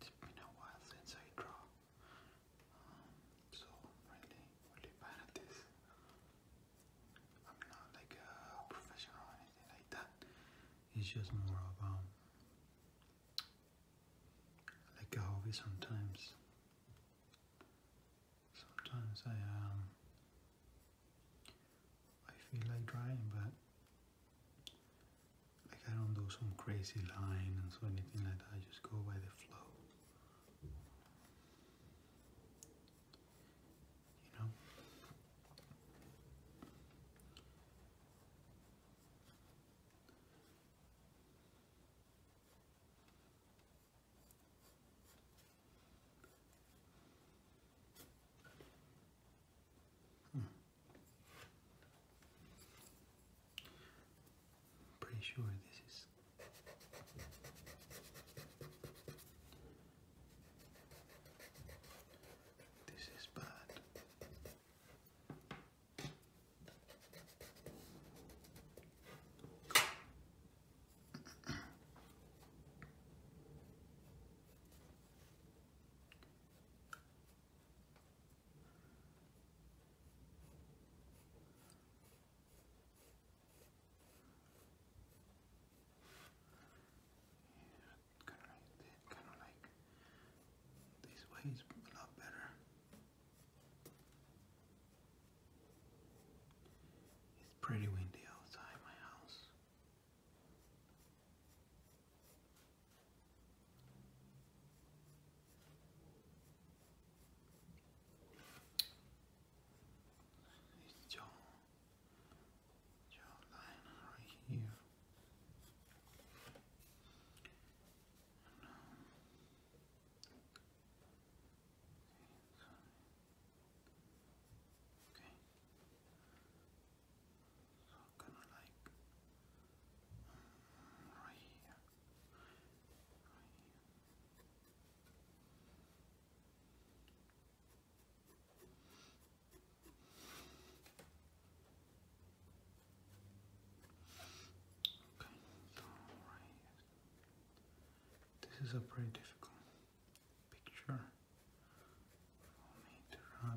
It's been a while since I draw, um, so really, really bad at this. I'm not like a professional or anything like that. It's just more of um, let go of it sometimes. Sometimes I um I feel like drawing, but like I don't do some crazy line or so anything like that. I just go by the flow. You know. Hmm. Pretty sure this is this is bad. Kind of like this way is a lot better. It's pretty windy outside my house. It's Joe, Joe right here. Okay. So kind of like um, right here. Right here. Okay. Okay, so This is a pretty difficult picture for me to draw,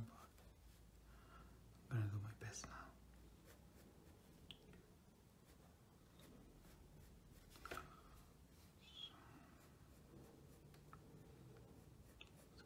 but I'm do my best now. So, it's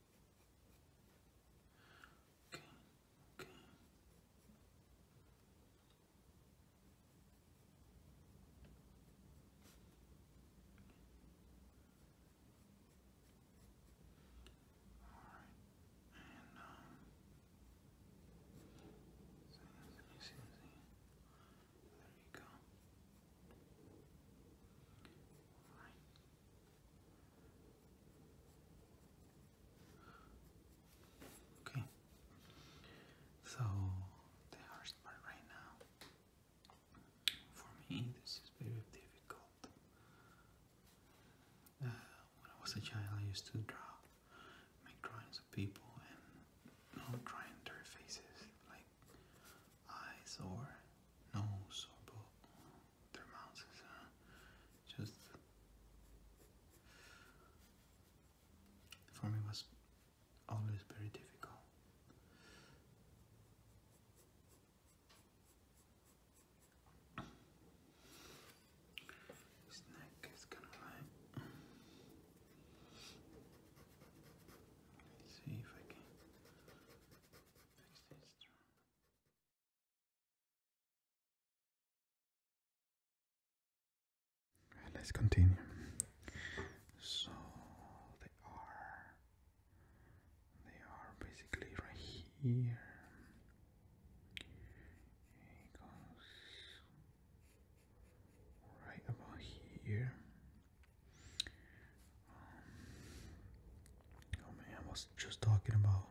Okay. Okay. All right. And um see, see, see, There you go. All right. Okay, so the hardest part right now for me this is very difficult. Uh, when I was a child, I used to draw, make drawings of people and you know, their faces like eyes or nose or both their mouths is just for me was always very difficult. neck is kind of like. see if I can let's continue. So they are they are basically right here. It goes right about here. Um, oh man, I was just talking about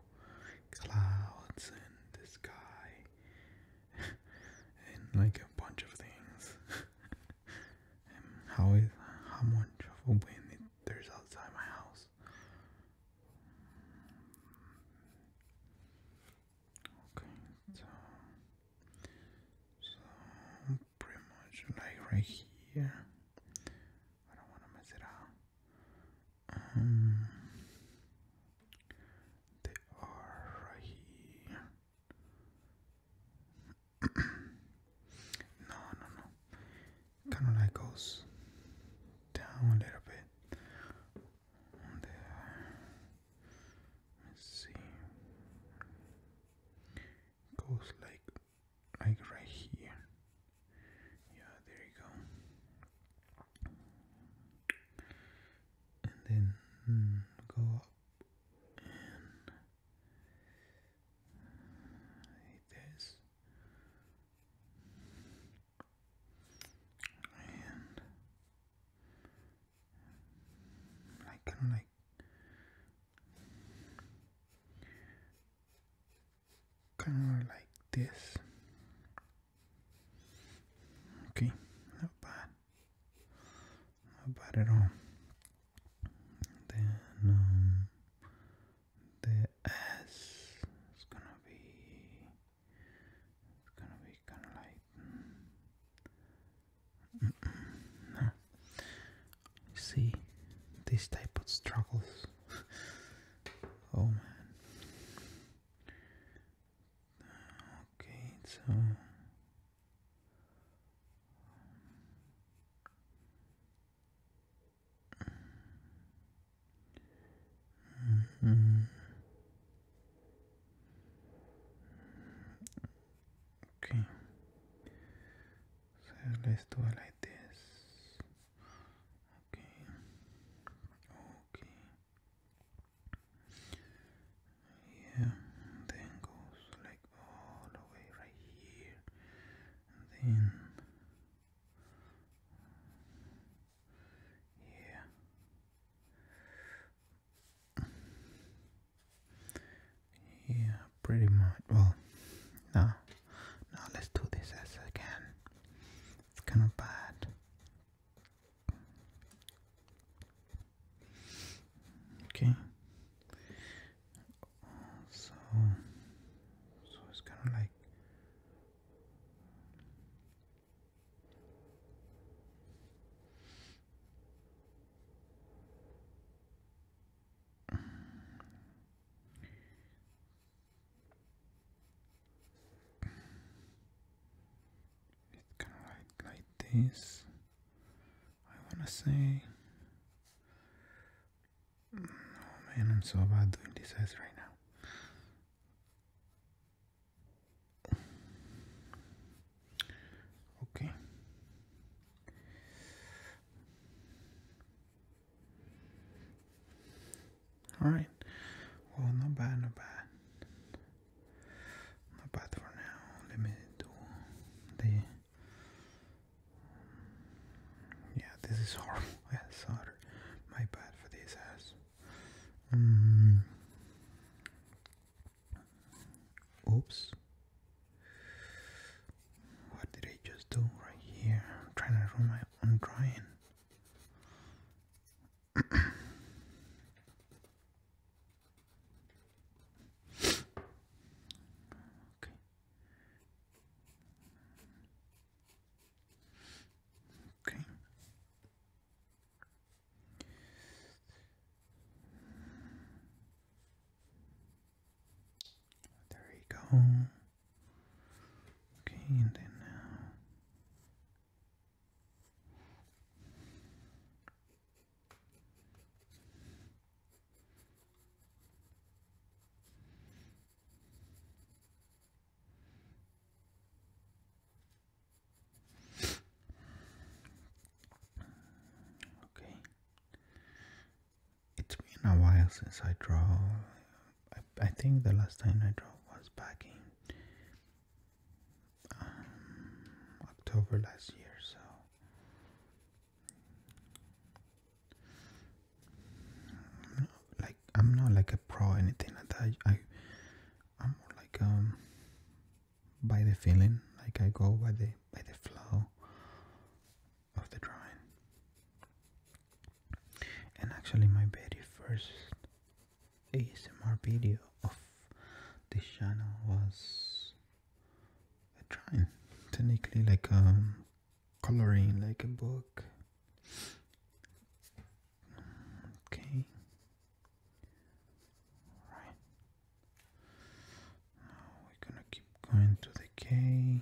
clouds in the sky and like a bunch of things. and how is how much of a wind there's outside my house? Okay, so pretty much like right here I don't want to mess it up. Um, they are right here. no, no, no. Kind of like goes down a little bit. Let's see goes like like right here yeah there you go and then mm, go up and like and like kind like kind of like this. Okay, not bad, not bad at all. Then um, the S is gonna be, it's gonna be kind of like see this type of struggles. oh man. Okay, so mm-hmm. Okay, let's do it like this. Okay. Okay. Yeah, then goes like all the way right here. And then yeah. Yeah, pretty much. Well, no, now let's do this again. It's kind of bad. Okay. So, so it's kind of like. It can write like this. I wanna say. Oh man, I'm so bad doing this as right now. Okay. Alright. Well, not bad, not bad. Not bad for now. Let me do the. Yeah, this is horrible. Yeah, sorry. My bad for this ass. Um, oops. What did I just do right here? I'm trying to ruin my own drawing. okay. Okay. There you go. Okay, and then now. Uh, okay, it's been a while since I draw. I, think the last time I draw was back in um, October last year, so. like I'm not like a pro anything like that. I I'm more like um by the feeling, like I go by the by the flow of the drawing. And actually my very first ASMR video of this channel was a drawing. Technically like a um, coloring like a book. Okay. Right. Now we're gonna keep going to the K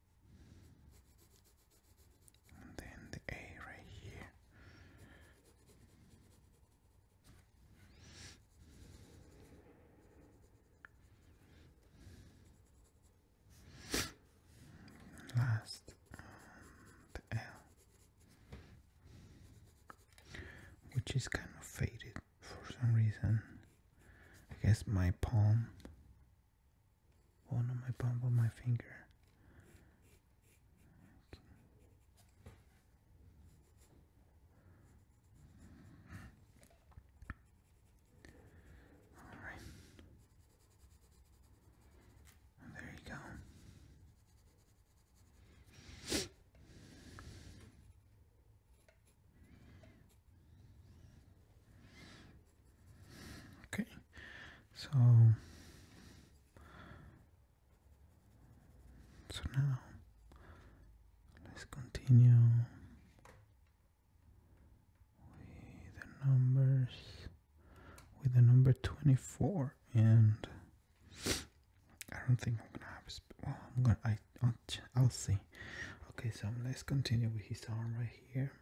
and then the A right here. last, the L, which is kind of faded for some reason. I guess my palm one on my palm of my finger. All right. There you go. Okay, so so now let's continue with the numbers with the number twenty four and I don't think I'm gonna have. Well, I'm gonna. I i will see. Okay, so let's continue with his arm right here.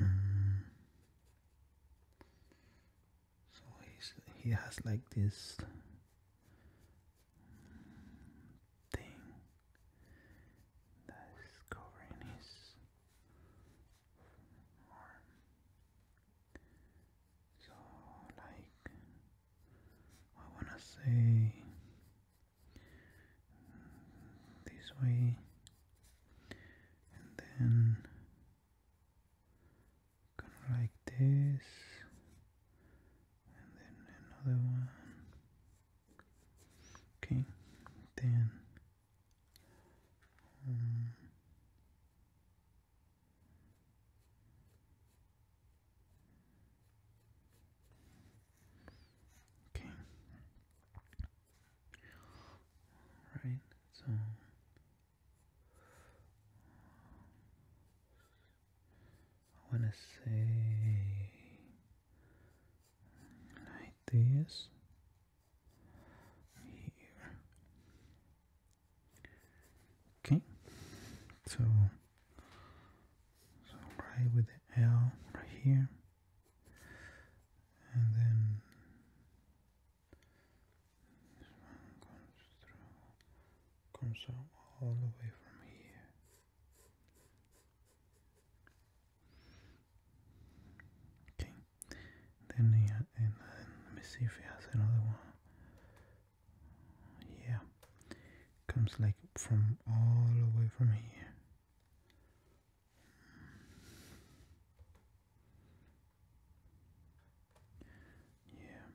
Mm. So he's he has like this thing that is covering his arm. So like I wanna say this way and then like this and then another one okay then um, Okay. Right, so I want to say like this here. Okay, so so right with the L right here and then this one comes through comes all the way from here okay then and, and, and let me see if he has another one yeah comes like from all the way from here yeah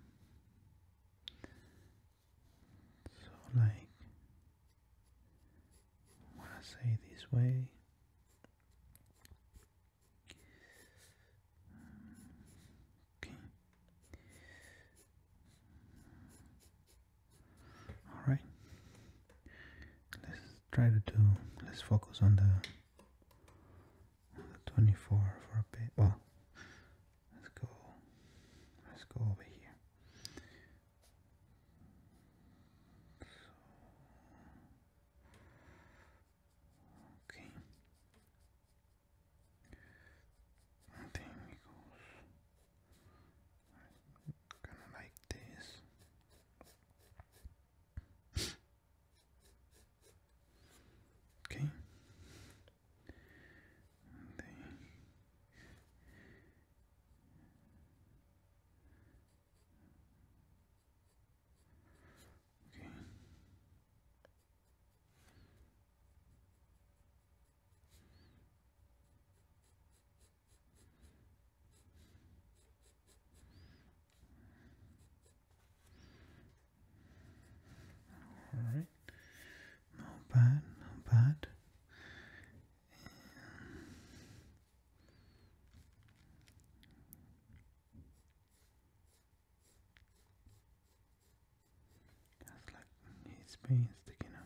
so like when I say this way Okay all right let's try to do let's focus on the, 24 for a bit well let's go let's go over here okay I think goes Kinda like this. okay. They... Okay. All right, not bad, not bad. That's like his being sticking out.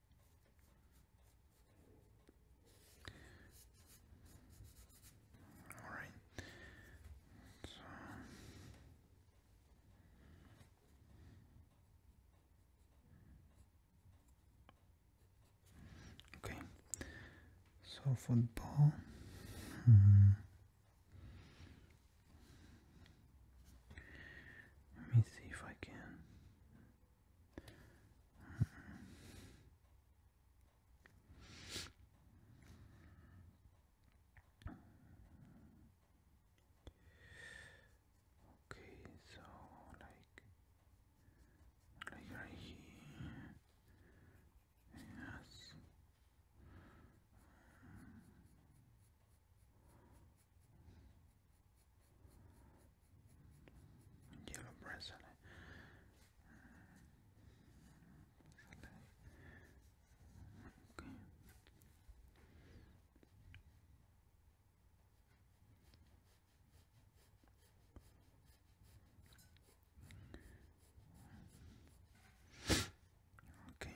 All right. So Okay. So football. Hmm. Let me see if I can Okay, so like like right here. Yes yellow bracelet. Okay. Okay,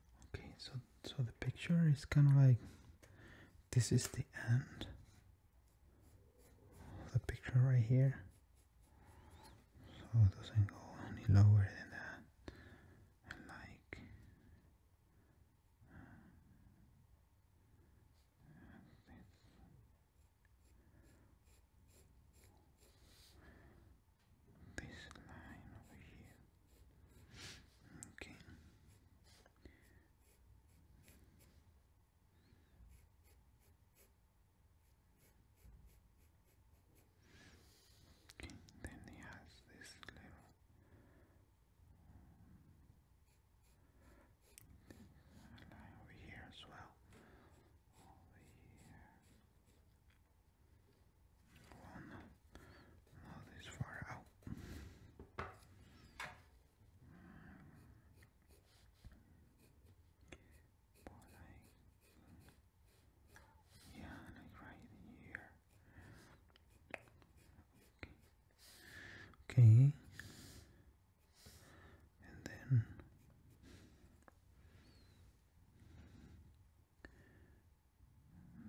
Okay, so so the picture is kind of like this is the end the picture right here. So it doesn't go any lower than that. like this line over here. Okay. Okay, then he has this little line over here as well. Over here. One not oh, this far out. yeah, like right here. Okay. okay. And then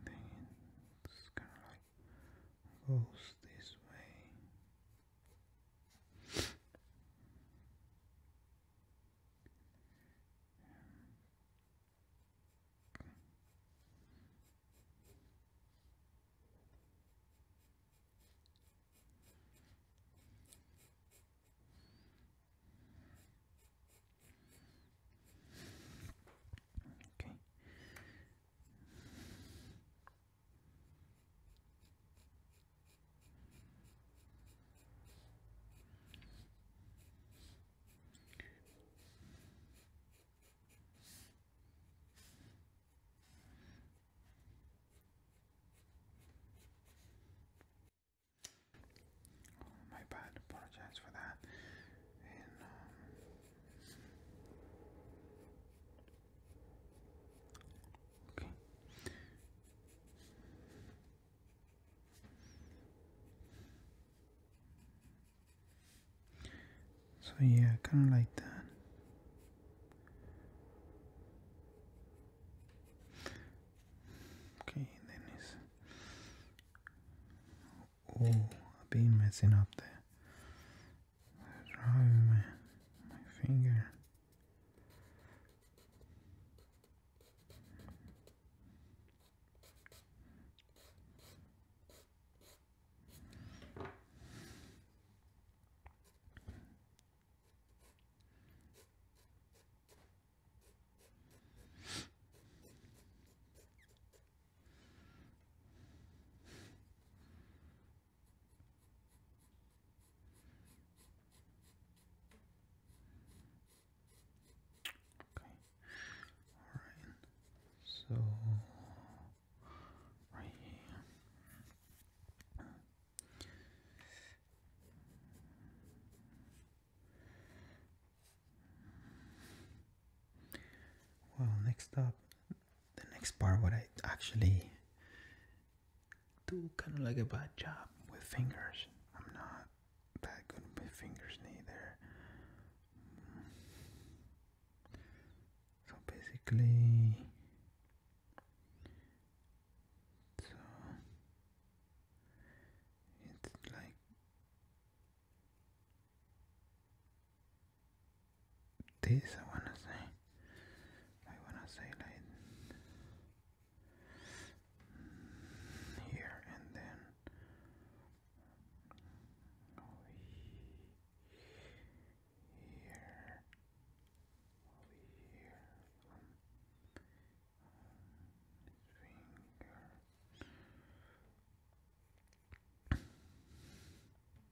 then it's kind of like goes this way. Okay, Oh, my bad, apologize for that. And um, so yeah, kind of like that. Okay, then it's Oh, I've been messing up there. the my, my finger. Okay. All right. So right here. Well, next up the next part what I actually do kind of like a bad job with fingers. I'm not that good with fingers neither. So basically, so it's like this I wanna say I wanna say like here and then here here finger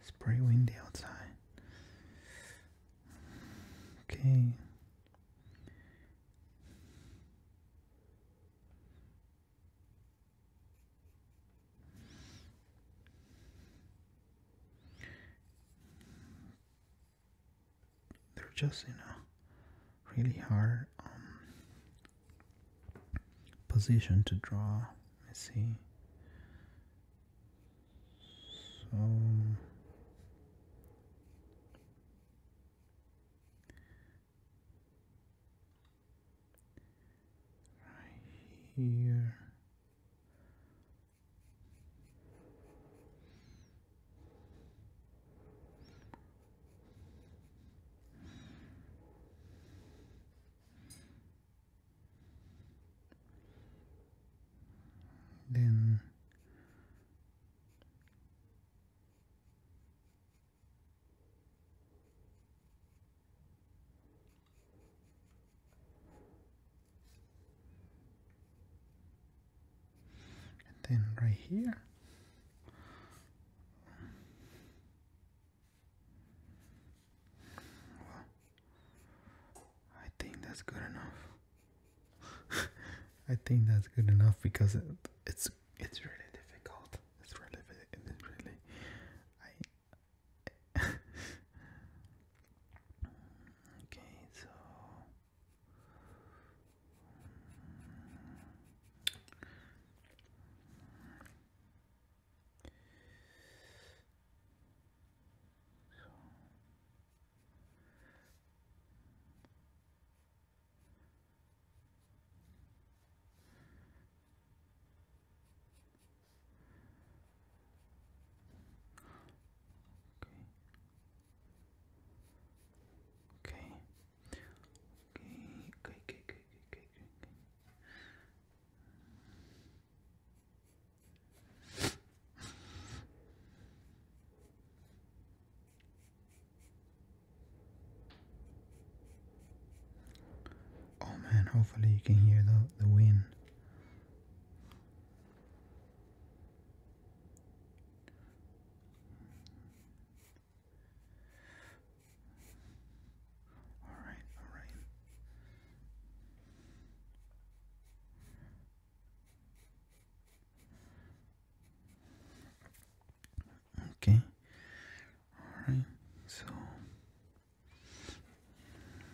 It's pretty windy outside. Okay. They're just in a really hard um, position to draw. Let's see. So right here. Then then right here. I think that's good enough. I think that's good enough because it's it's really difficult. It's really it's really Okay, so so Okay. Okay. Okay. Okay. Okay. Okay. Okay. Okay. Oh man, hopefully you can hear the, the wind. All right, all right. Okay. All right. So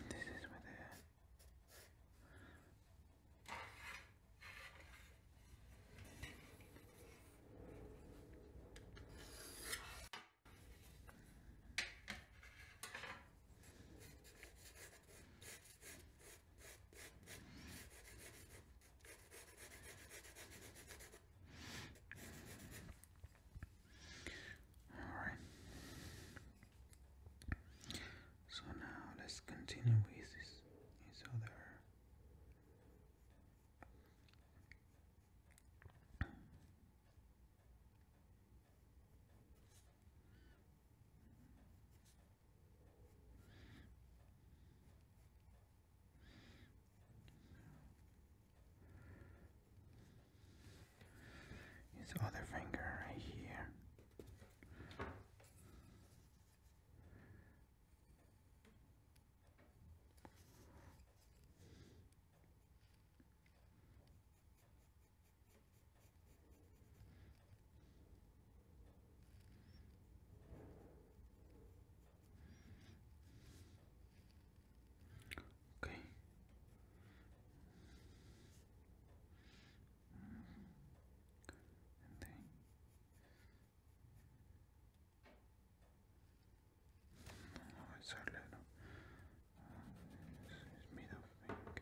this is what Alright. So now let's continue with this, other his other finger right here. Okay. And then no, oh, it's hard, no. it's, made of ink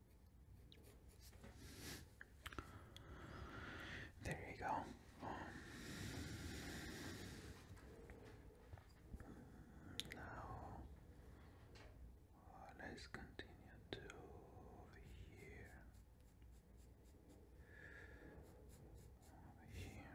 There you go. now uh, let's continue to over here. Over here. And then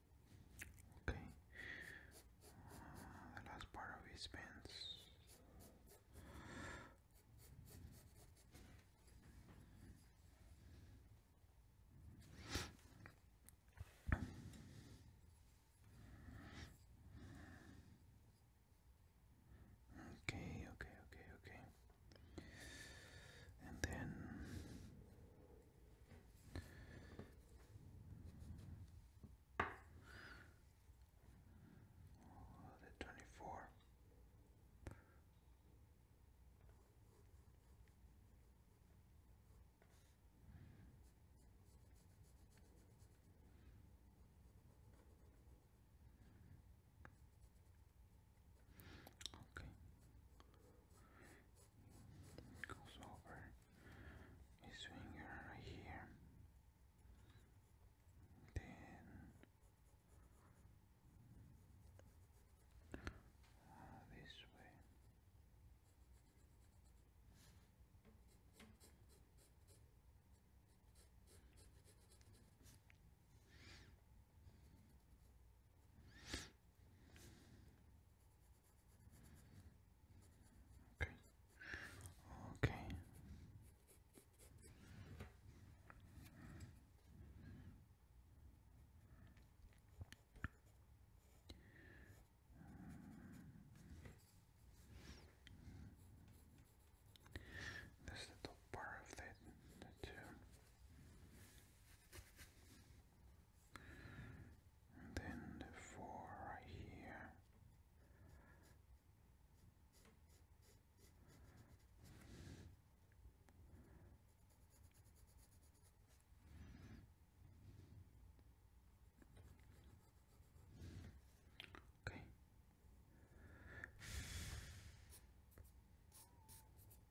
Okay. Uh, the last part of his pants. Okay, okay, okay, okay. And then the 24. Okay. It goes over his finger right here. Then this way. Okay. Okay. That's the part of it, the two and then the four right here. Okay.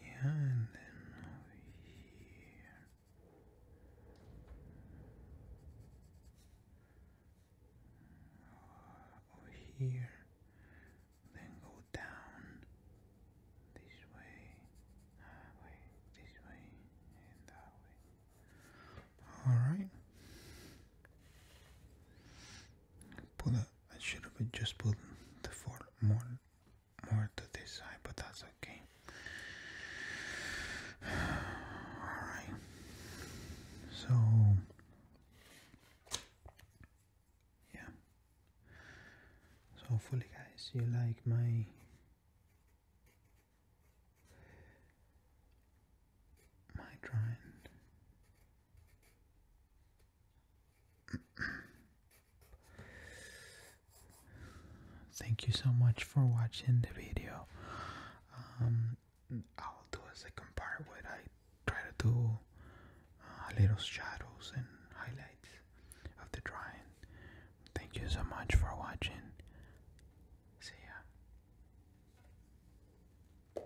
Yeah, and then over here. Over here. Then go down this way. Ah, wait, this way and that way. Alright. Pull it. I should have just pulled the four more, more to this side, but that's okay. All right. So yeah. So hopefully, guys, you like my. My drawing Thank you so much for watching the video. Um, I'll do a second part where I try to do uh, little shadows and highlights of the drawing. Thank you so much for watching. See ya.